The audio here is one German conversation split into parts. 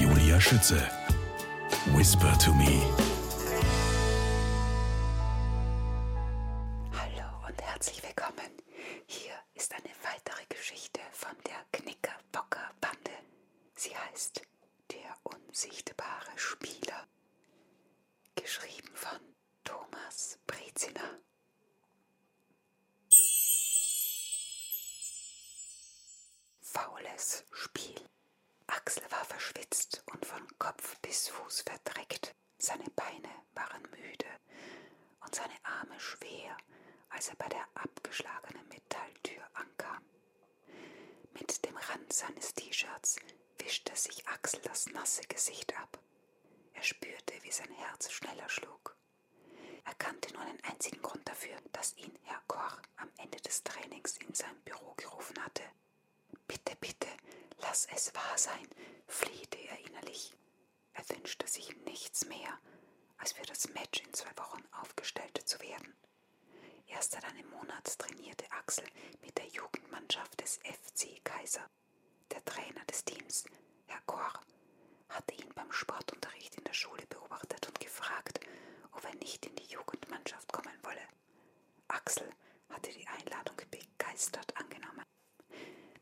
Julia Schütze. Whisper to me. Hallo und herzlich willkommen. Hier ist eine weitere Geschichte von der Knicker-Bocker-Bande. Sie heißt Der unsichtbare Spieler. Geschrieben von Thomas Brezina. Faules Spiel. Axel war verschwitzt und von Kopf bis Fuß verdreckt. Seine Beine waren müde und seine Arme schwer, als er bei der abgeschlagenen Metalltür ankam. Mit dem Rand seines T-Shirts wischte sich Axel das nasse Gesicht ab. Er spürte, wie sein Herz schneller schlug. Er kannte nur einen einzigen Grund dafür, dass ihn Herr Koch am Ende des Trainings in sein Büro gerufen hatte. Bitte, bitte, lass es wahr sein, flehte er innerlich. Er wünschte sich nichts mehr, als für das Match in zwei Wochen aufgestellt zu werden. Erst seit einem Monat trainierte Axel mit der Jugendmannschaft des FC Kaiser. Der Trainer des Teams, Herr Koch, hatte ihn beim Sportunterricht in der Schule beobachtet und gefragt, ob er nicht in die Jugendmannschaft kommen wolle. Axel hatte die Einladung begeistert angenommen.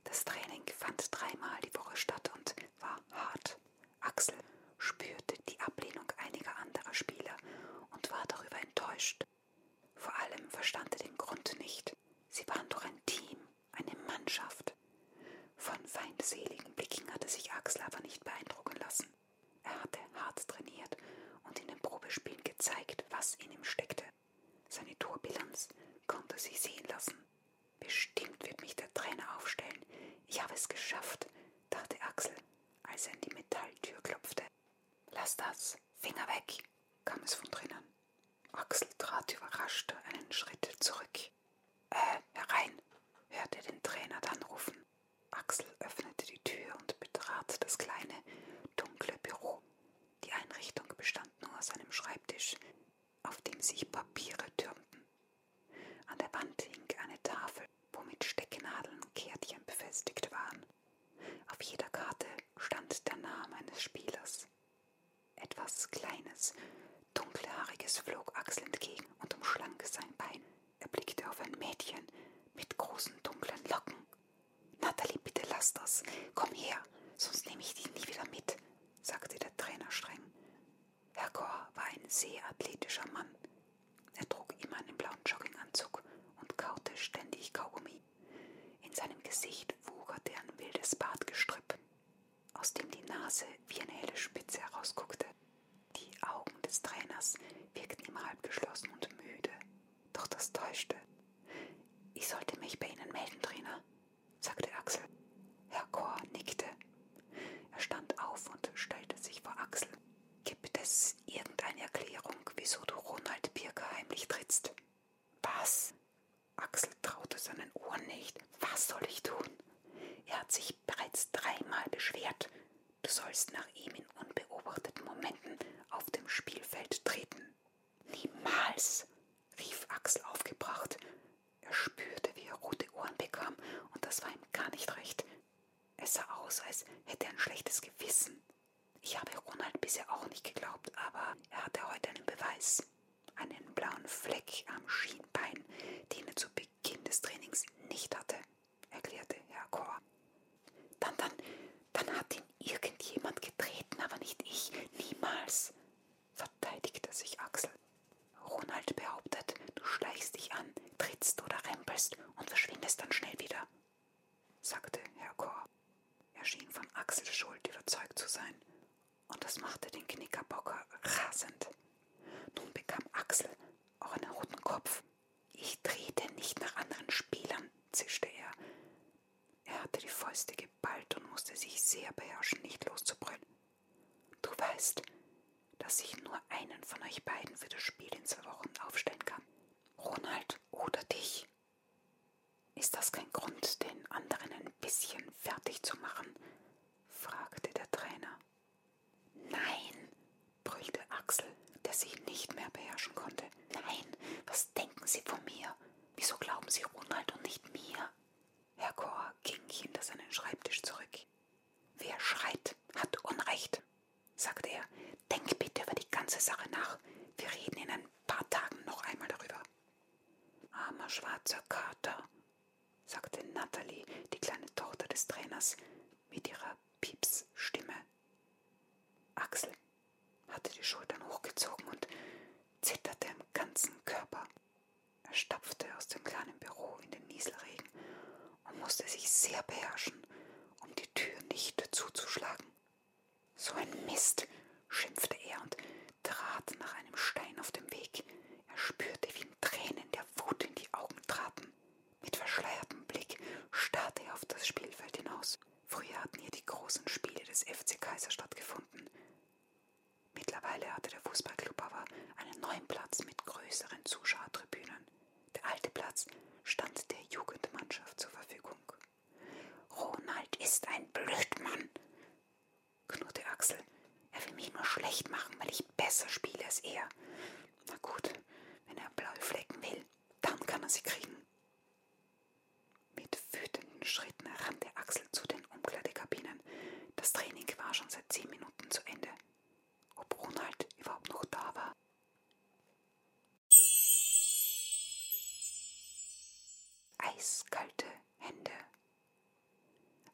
Das Training fand dreimal die Woche statt und war hart. Axel spürte die Ablehnung einiger anderer Spieler und war darüber enttäuscht. Vor allem verstand er den Grund nicht. Sie waren doch ein Team, eine Mannschaft gehabt. Von feindseligen Blicken hatte sich Axel aber nicht beeindrucken lassen. Er hatte hart trainiert und in den Probespielen gezeigt, was in ihm steckte. Seine Torbilanz konnte sich sehen lassen. Bestimmt wird mich der Trainer aufstellen. Ich habe es geschafft, dachte Axel, als er in die Metalltür klopfte. Lass das, Finger weg, kam es von drinnen. Axel trat überrascht einen Schritt zurück ich äh, herein, hörte den Trainer dann rufen. Axel öffnete die Tür und betrat das kleine, dunkle Büro. Die Einrichtung bestand nur aus einem Schreibtisch, auf dem sich Papiere türmten. An der Wand hing eine Tafel, womit Stecknadeln und Kärtchen befestigt waren. Auf jeder Karte stand der Name eines Spielers. Etwas Kleines, Dunkelhaariges flog Axel entgegen und umschlang sein Bein. Er blickte auf ein Mädchen mit großen dunklen Locken. Natalie, bitte lass das. Komm her, sonst nehme ich dich nie wieder mit, sagte der Trainer streng. Herr Gore war ein sehr athletischer Mann. Er trug immer einen blauen Jogginganzug und kaute ständig Kaugummi. In seinem Gesicht wucherte ein wildes Bartgestrüpp aus dem die Nase wie eine helle Spitze herausguckte. Die Augen des Trainers wirkten immer halb geschlossen und müde, doch das täuschte. Ich sollte mich bei Ihnen melden, Trainer, sagte Axel. Herr Kor nickte. Er stand auf und stellte sich vor Axel. Gibt es irgendeine Erklärung, wieso du Ronald Birker heimlich trittst? Was? Axel traute seinen Ohren nicht. Was soll ich tun? Er hat sich dich bereits dreimal beschwert. Du sollst nach ihm in unbeobachteten Momenten auf dem Spielfeld treten. Niemals, rief Axel aufgebracht. Er spürte, wie er rote Ohren bekam, und das war ihm gar nicht recht. Es sah aus, als hätte er ein schlechtes Gewissen. Ich habe Ronald bisher auch nicht geglaubt, aber er hatte heute einen Beweis. Einen blauen Fleck am Schienbein, den er zu Beginn des Trainings nicht hatte, erklärte Herr Kor. Dann, dann, dann hat ihn irgendjemand getreten, aber nicht ich, niemals, verteidigte sich Axel. Ronald behauptet, du schleichst dich an, trittst oder rempelst und verschwindest dann schnell wieder, sagte Herr Kor. Er schien von Axels Schuld überzeugt zu sein, und das machte den Knickerbocker rasend. Nun bekam Axel auch einen roten Kopf. Ich trete nicht nach anderen Spielern, zischte er. Er hatte die Fäuste geballt und musste sich sehr beherrschen, nicht loszubrüllen. Du weißt, dass ich nur einen von euch beiden für das Spiel in zwei Wochen aufstellen kann. Ronald oder dich. Ist das kein Grund, den anderen ein bisschen fertig zu machen? fragte der Trainer. Nein, brüllte Axel, der sich nicht mehr beherrschen konnte. Nein, was denken Sie von mir? Wieso glauben Sie Ronald und nicht mir? Herr Kor ging hinter seinen Schreibtisch zurück. Wer schreit, hat Unrecht, sagte er. Denk bitte über die ganze Sache nach. Wir reden in ein paar Tagen noch einmal darüber. Armer schwarzer Kater, sagte Natalie, die kleine Tochter des Trainers, mit ihrer Piepsstimme. Axel hatte die Schultern hochgezogen und zitterte im ganzen Körper. Er stapfte aus dem kleinen Büro in den Nieselregen und musste sich sehr beherrschen, um die Tür nicht zuzuschlagen. So ein Mist, schimpfte er und trat nach einem Stein auf dem Weg. Er spürte, wie ihm Tränen der Wut in die Augen traten. Mit verschleiertem Blick starrte er auf das Spielfeld hinaus. Früher hatten hier die großen Spiele des FC Kaiser stattgefunden. Mittlerweile hatte der Fußballclub aber einen neuen Platz mit größeren Zuschauertribünen. Der alte Platz stand der Jugendmannschaft zur Verfügung. Ronald ist ein Blödmann, knurrte Axel, er will mich nur schlecht machen, weil ich besser spiele als er. Na gut, wenn er blaue Flecken will, dann kann er sie kriegen. Mit wütenden Schritten rannte Axel zu den Umkleidekabinen. Das Training war schon seit zehn Minuten zu Ende. Ob Ronald überhaupt noch da war? Eiskalte Hände.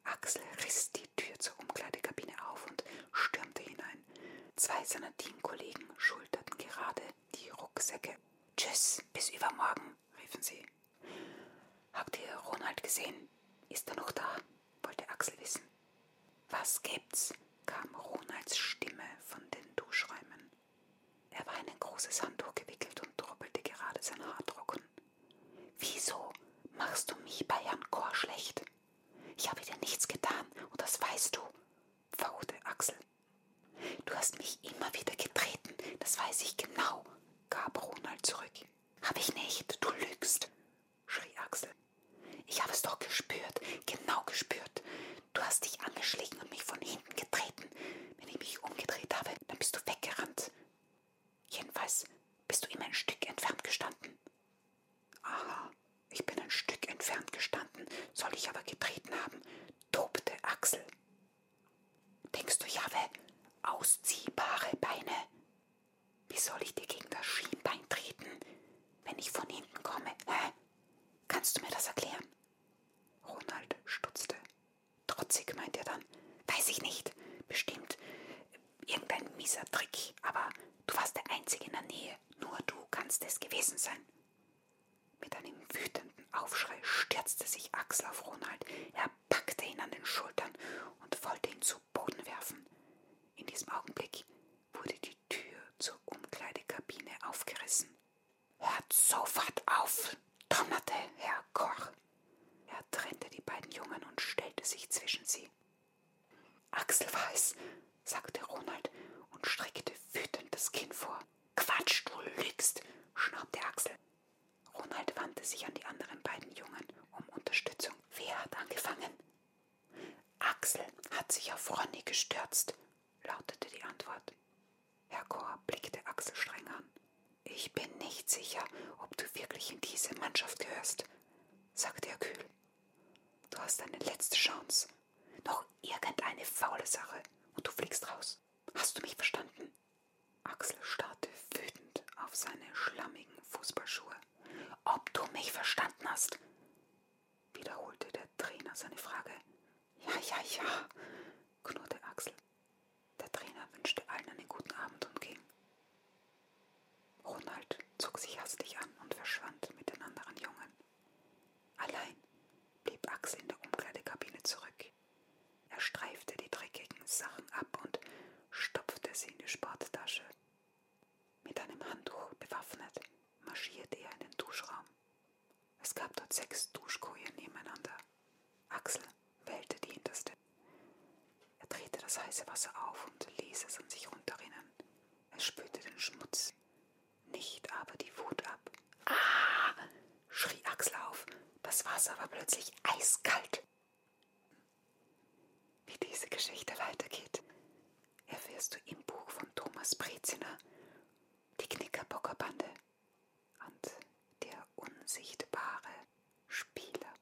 Axel riss die die Tür zur Umkleidekabine auf und stürmte hinein. Zwei seiner Teamkollegen schulterten gerade die Rucksäcke. Tschüss, bis übermorgen, riefen sie. Habt ihr Ronald gesehen? Ist er noch da? wollte Axel wissen. Was gibt's? kam Ronalds Stimme von den Duschräumen. Er war in ein großes Handtuch gewickelt und droppelte gerade sein Haar trocken. Wieso machst du mich bei Jan Kor schlecht? Ich habe dir nichts getan und das weißt du, fauchte Axel. Du hast mich immer wieder getreten, das weiß ich genau, gab Ronald zurück. Hab ich nicht, du lügst, schrie Axel. Ich habe es doch gespürt, genau gespürt. Du hast dich angeschlagen und mich von hinten getreten. Wenn ich mich umgedreht habe, dann bist du weggerannt. Jedenfalls bist du immer ein Stück entfernt gestanden. Aha, ich bin ein Stück entfernt gestanden, soll ich aber getreten haben, tobte Axel. Denkst du, Jahwe, ausziehbare Beine? Wie soll ich dir gegen das Schienbein treten, wenn ich von hinten komme? Hä? Kannst du mir das erklären? Ronald stutzte. Trotzig meint er dann. Weiß ich nicht. Bestimmt irgendein mieser Trick, aber du warst der Einzige in der Nähe, nur du kannst es gewesen sein. Mit einem wütenden Aufschrei stürzte sich Axel auf Ronald. Er packte ihn an den Schultern und wollte ihn zu Boden werfen. In diesem Augenblick wurde die Tür zur Umkleidekabine aufgerissen. Hört sofort auf! donnerte Herr Koch. Er trennte die beiden Jungen und stellte sich zwischen sie. Axel weiß, sagte Ronald und streckte wütend das Kinn vor. Quatsch, du lügst, schnaubte Axel. Ronald wandte sich an die anderen beiden Jungen um Unterstützung. Wer hat angefangen? Axel hat sich auf Ronny gestürzt, lautete die Antwort. Herr Kohr blickte Axel streng an. Ich bin nicht sicher, ob du wirklich in diese Mannschaft gehörst, sagte er kühl. Du hast deine letzte Chance. Noch irgendeine faule Sache und du fliegst raus. Hast du mich verstanden? Axel starrte wütend auf seine schlammigen Fußballschuhe. Ob du mich verstanden hast? wiederholte der Trainer seine Frage. Ja, ja, ja, knurrte Axel. Der Trainer wünschte allen einen guten Abend und ging. Ronald zog sich hastig an und verschwand mit den anderen Jungen. Allein blieb Axel in der Umkleidekabine zurück. Er streifte die dreckigen Sachen ab und stopfte sie in die Sporttasche. Mit einem Handtuch bewaffnet marschierte er in den Duschraum. Es gab dort sechs Duschkojen nebeneinander. Axel wählte die hinterste. Er drehte das heiße Wasser auf und ließ es an sich runterrinnen. Es spülte den Schmutz, nicht aber die Wut ab. Ah! schrie Axel auf. Das Wasser war plötzlich eiskalt. Wie diese Geschichte weitergeht, erfährst du im Buch von Thomas Breziner, Die Knickerbockerbande und der unsichtbare Spieler.